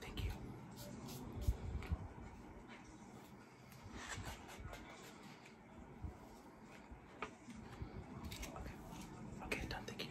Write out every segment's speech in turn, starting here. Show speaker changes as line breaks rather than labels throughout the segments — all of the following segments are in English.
Thank you. Okay. done. Thank you.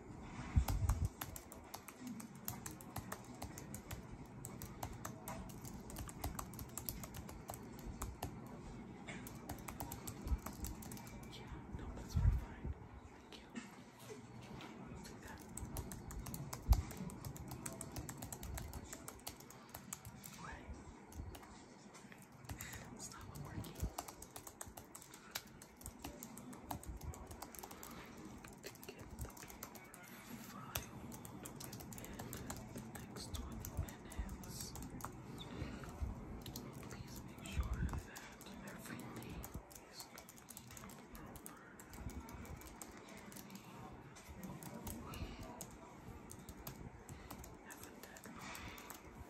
Yeah, no, that's very fine. Thank you. Let's do that. Right. It's not working to get the file within the next 20 minutes. Please make sure that everything is completed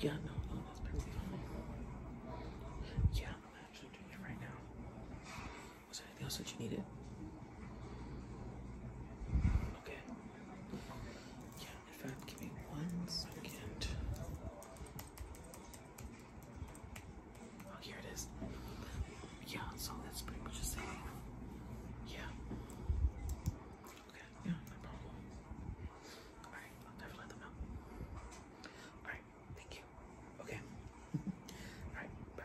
Yeah, no, no, that's perfectly fine. Yeah, I'm actually doing it right now. Was there anything else that you needed? Okay. Yeah, in fact, give me one second. Oh, here it is. Yeah, so that's pretty much the Yeah. Okay, yeah, no problem. Alright, I'll definitely let them know. Alright, thank you. Okay? Alright, bye.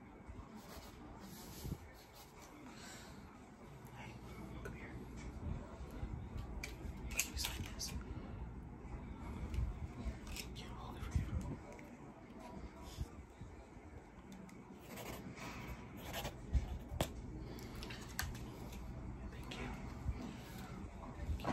Hey, come here. Can you sign this? Yeah, hold it for you. Thank you. Thank you. Yeah.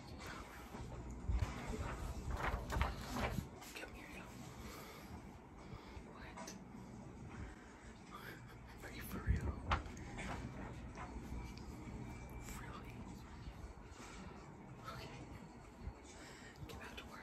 Come Are you for real? Really? Okay. Get back to work,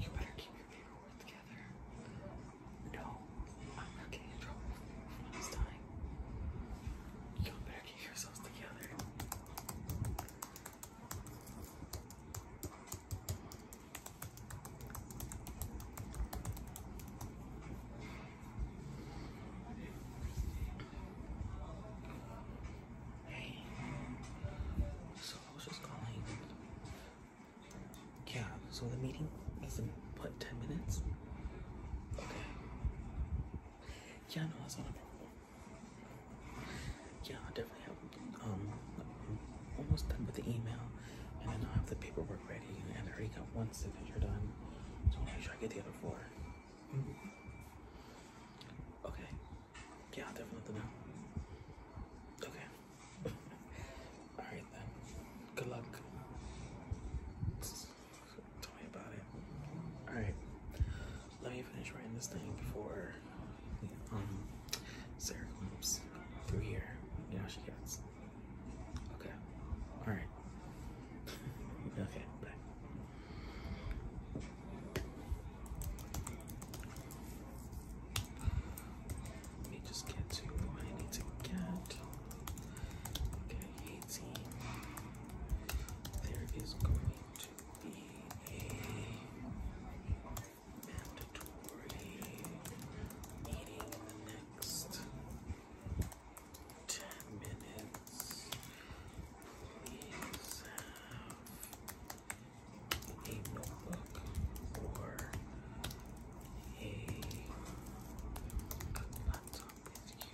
You better keep your paperwork together. No, I'm not getting in trouble this time. You better keep yourselves together. Hey. So I was just calling. Yeah, so the meeting is in what, 10 minutes? Okay. Yeah, no, that's not a problem. Yeah, I definitely have um almost done with the email and then I'll have the paperwork ready and I already got one signature done. So i to make sure I get the other 4 mm-hmm. Okay. Yeah, I'll definitely let them know. Okay. Alright then. Good luck. Tell me about it. Alright. Let me finish writing this thing before um, Sarah comes through here. Yeah, she gets. Okay. Alright. okay, bye. Let me just get to who to get. Okay, 18. There is going to be a mandatory meeting in the next 10 minutes. Please have a notebook or a, laptop with you you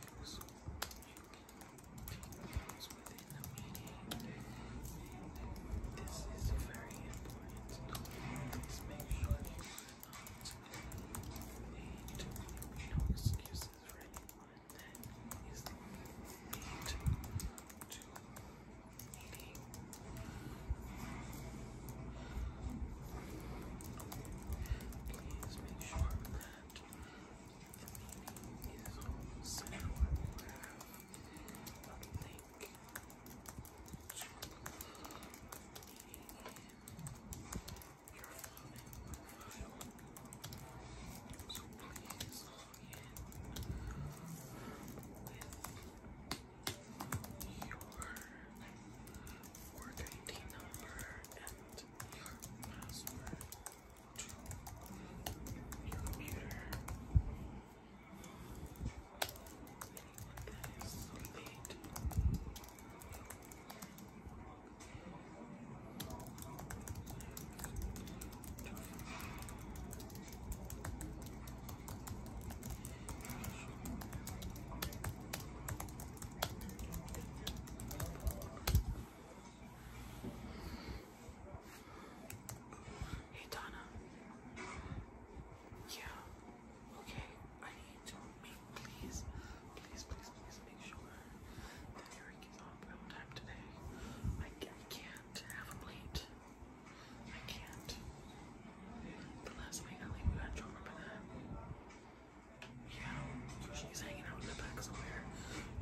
can take notes within the meeting. this is very important. Please make sure you are no excuses, right? is eight to eighty. Please make sure that it is set. I will have a link to your phone file so please log in your 4 number and your password to your computer. Hey Donna. Yeah. Okay. I need to make please, please, please, please make sure that you're get on prime time today. I, I can't have them late. I can't. The last week I leave you got drove by that. Yeah, usually he's hanging out in the back somewhere.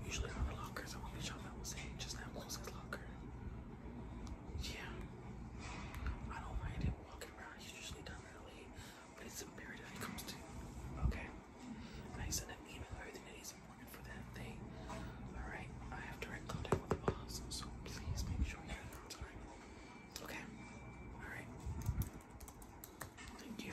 Usually on the locker, so I won't be shocked that was saying just that close his locker. Yeah. I don't mind him walking around. He's usually done early, but it's a period that he comes to. Okay. I sent an email earlier today's morning for that thing. Alright, I have direct contact with the boss, so please make sure you're on time. Okay? Alright. Thank you.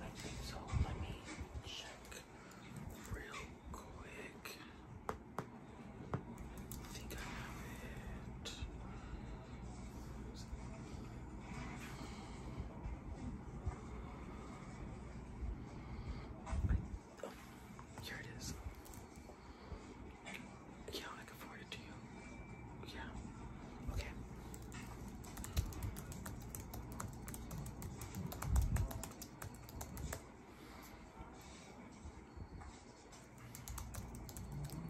I think so. Let me check real quick. I think I have it. Oh, here it is. Yeah, I can forward it to you. Yeah. Okay. Okay. Uh,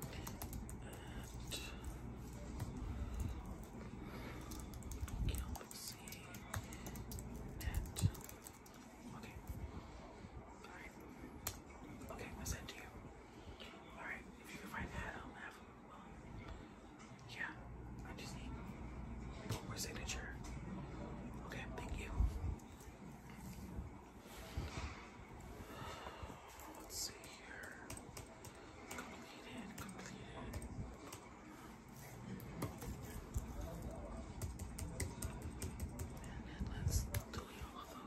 Alright. Okay, I sent to you. Alright, if you can find that, I'll um, have them. Um, well, yeah, I just need more signature. Okay, thank you. Let's see here. Completed, completed. And then let's delete all of them.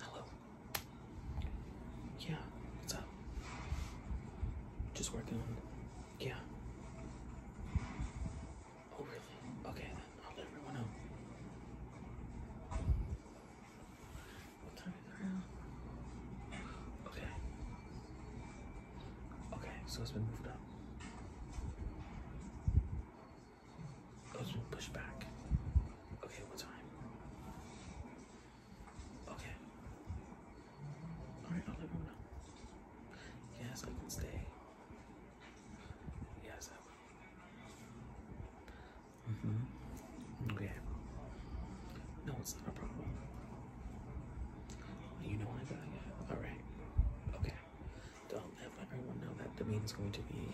Hello. Yeah, what's up? Just working on Yeah. Oh, really? Okay, I'll let everyone know. What time is it now? Okay. Okay, so it's been moved up. Oh, it's been pushed back. Okay, what time? Okay. Alright, let him know. Yes, I can stay. Yes, I will. Mm-hmm. Okay. No, it's not a problem. You know I got Alright. Okay. Don't let everyone know that the meeting's going to be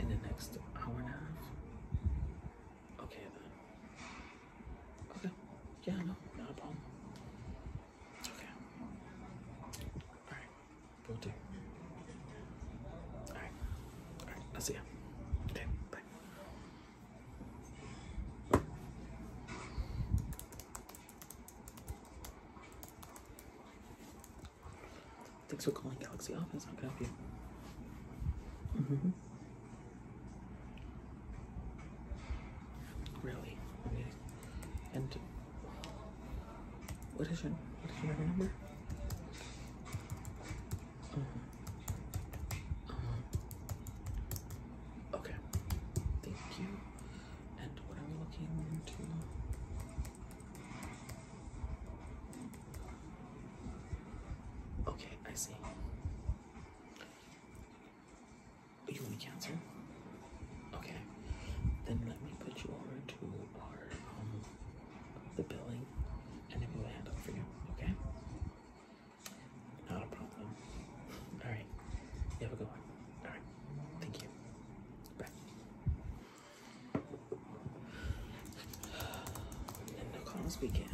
in the next hour and a half. Okay then. Okay. Yeah, no, not a problem. Okay. Alright. Will see ya. Okay, bye. Thanks for calling Galaxy Office. How can I help you? Mm-hmm. Really? And what is your what is your number? Um, um, okay. Thank you. And what are we looking into? Okay, I see. You want to cancel? Okay. Then let me put you over to our um the billing and then we'll handle it for you, okay? Not a problem. Alright. You have a good one. Alright. Thank you. Bye. And the calls begin.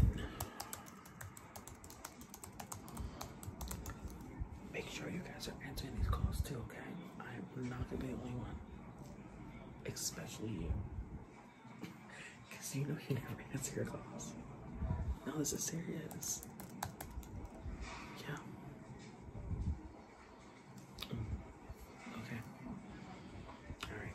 Make sure you guys are answering these calls too, okay? I'm not gonna be the only one. Especially you. Because you know you never answer your calls. No, this is serious. Yeah. Mm. Okay. Alright.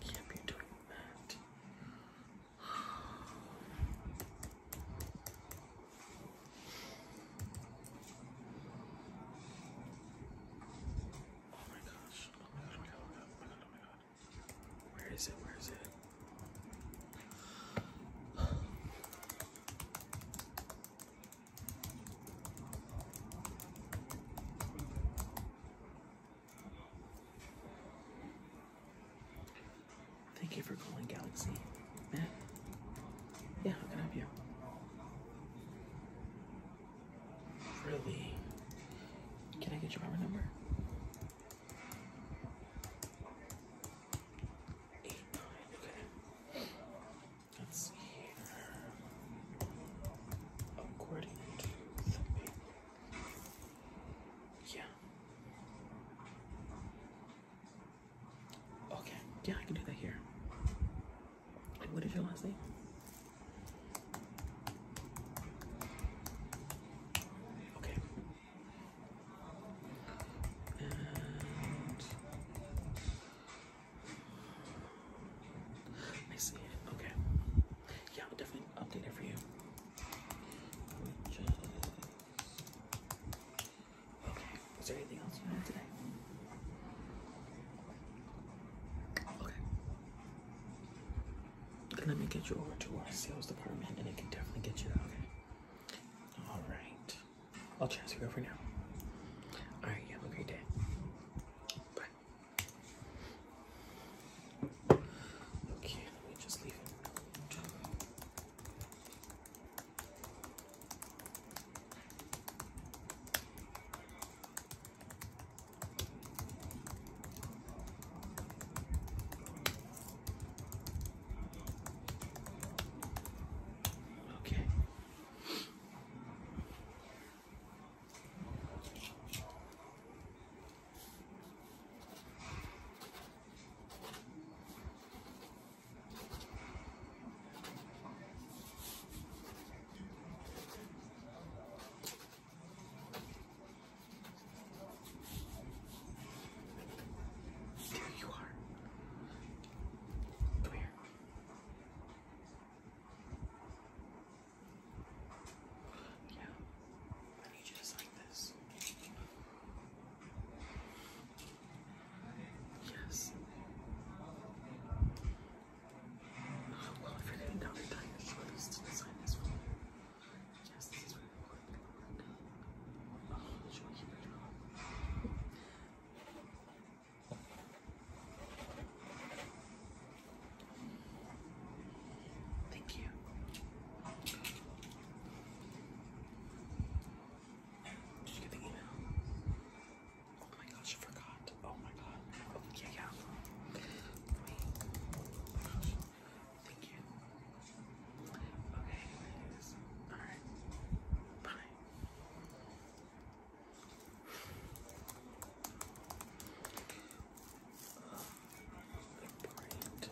Can't be doing that. Where is it? Where is it? Thank you for calling Galaxy. Matt? Yeah, how can I help you? Really? Can I get your member number? Eight, nine, okay. Let's see here. According to the yeah. Okay. Yeah, I can do that here. And what is your last name? Okay. And I see Okay. Yeah, I'll definitely update it for you. Okay. Is there anything else you know today? Okay. Let me get you over to our sales department and it can definitely get you out. okay? Alright. I'll transfer you over now. Alright, you have a great day. Bye. Okay, let me just leave it. Okay. There you are. Come here. Yeah. I need you just like this. Yes. well, if you're getting down to tie your shoulders to the this one. Yes, this is really Oh, should we keep it on? Thank you. Did get the email? Oh my gosh, I forgot. Oh my god. Oh, yeah, Thank you. Okay, Alright. Bye uh, brand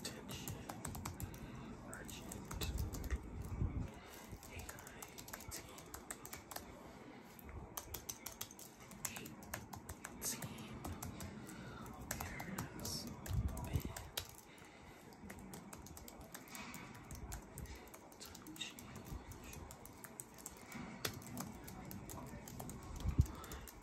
attention, urgent, AI team, team,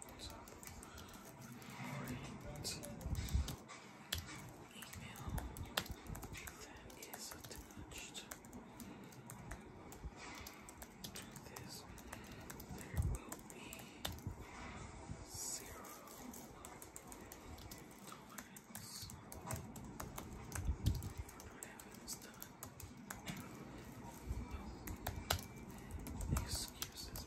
that is attached to this. There will be zero tolerance for excuses.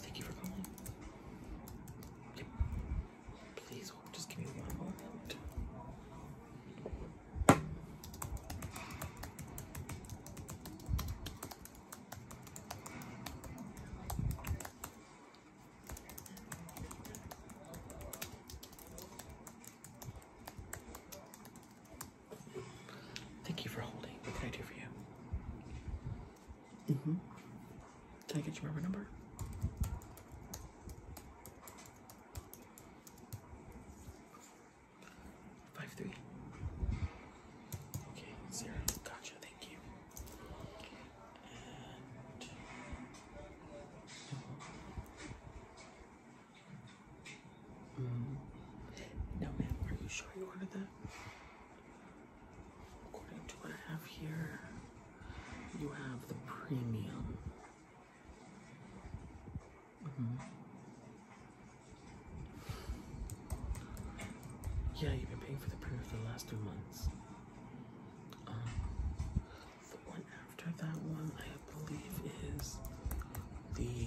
Thank you for calling. Please Just give me one moment. Thank you for holding. What can I do for you? Mm-hmm. Can I get your member number? Five three. Okay, zero. Gotcha. Thank you. Mm. No, ma'am, are you sure you ordered that? According to what I have here, you have the premium. Mm-hmm. Yeah, you've been paying for the premium for the last two months. Um, the one after that one, I believe, is the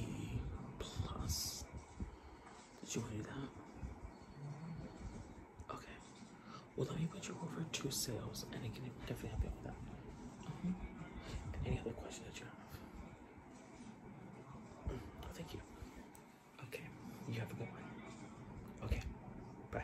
plus. Did you hear that? Okay. Well, let me put you over to sales, and I can definitely help you with that. Mm-hmm. Any other questions that you have? no, mm, thank you. Okay. You have a good one. Okay. Bye.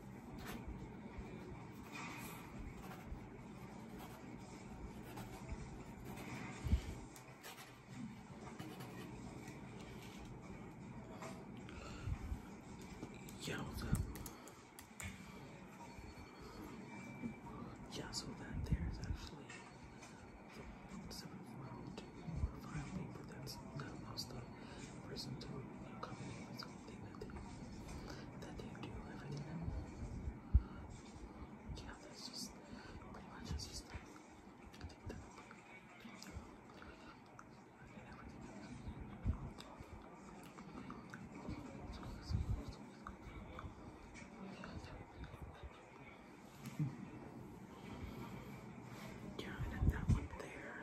Yeah, what's Yeah, so that there is actually seven four two or five people. That's that was the uh, person to accompany myself anything that they do, everything yeah, that's just pretty much just that yeah, and that one there.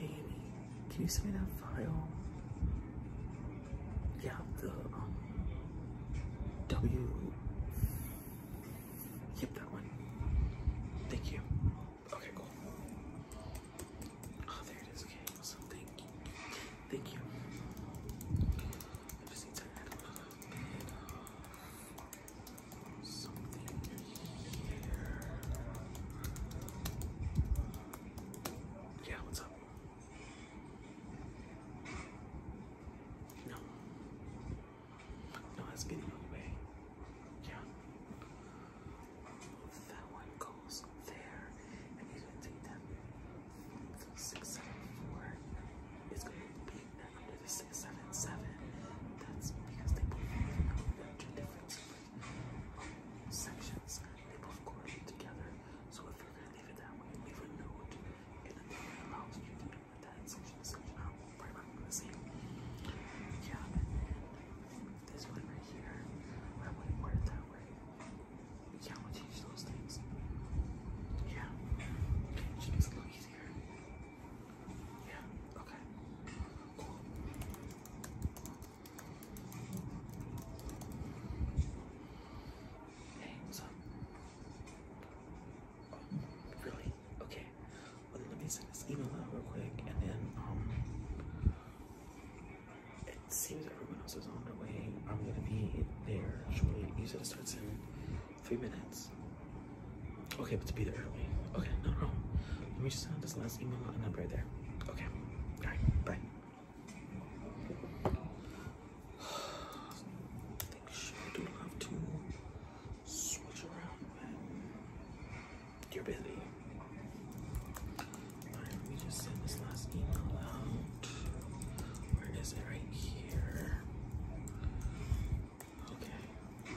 Amy, can you send me that file? Yeah, the um, W. Yep, that one. Thank you. Okay, cool. Oh, there it is. Okay, awesome. Thank you. Thank you. Yeah, what's up? No. No, that's getting on the way. Yeah. That one goes there. I need to take that six seven four. It's gonna be under the six seven seven. That's because they both two different sections, they both correlate together. So if you're gonna leave it that way, leave a note in the thing that allows you to put that section section out. Probably not gonna Yeah, this one right here, I wouldn't word it that way. Yeah, I'm gonna change those things. Yeah, it should it a little easier. Yeah, okay. Hey, what's really? Okay. let me send this email out real quick, and then um, it seems everyone else is on their way. I'm gonna be there shortly. You said it starts in three minutes. Okay, but to be there early. Okay, no, no. Let me just send this last email and I'm right there. Okay. All right, bye. I think sure do have to switch around when you let me just send this last email out. Where is it? Right here. Okay.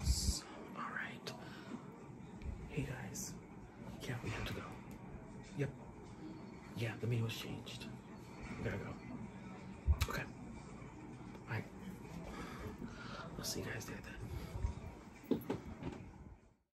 Awesome. All right. Hey guys. Yeah, we have to go. Yep. Yeah, the meeting was changed. We gotta go. Okay. All right. I'll see you guys there then.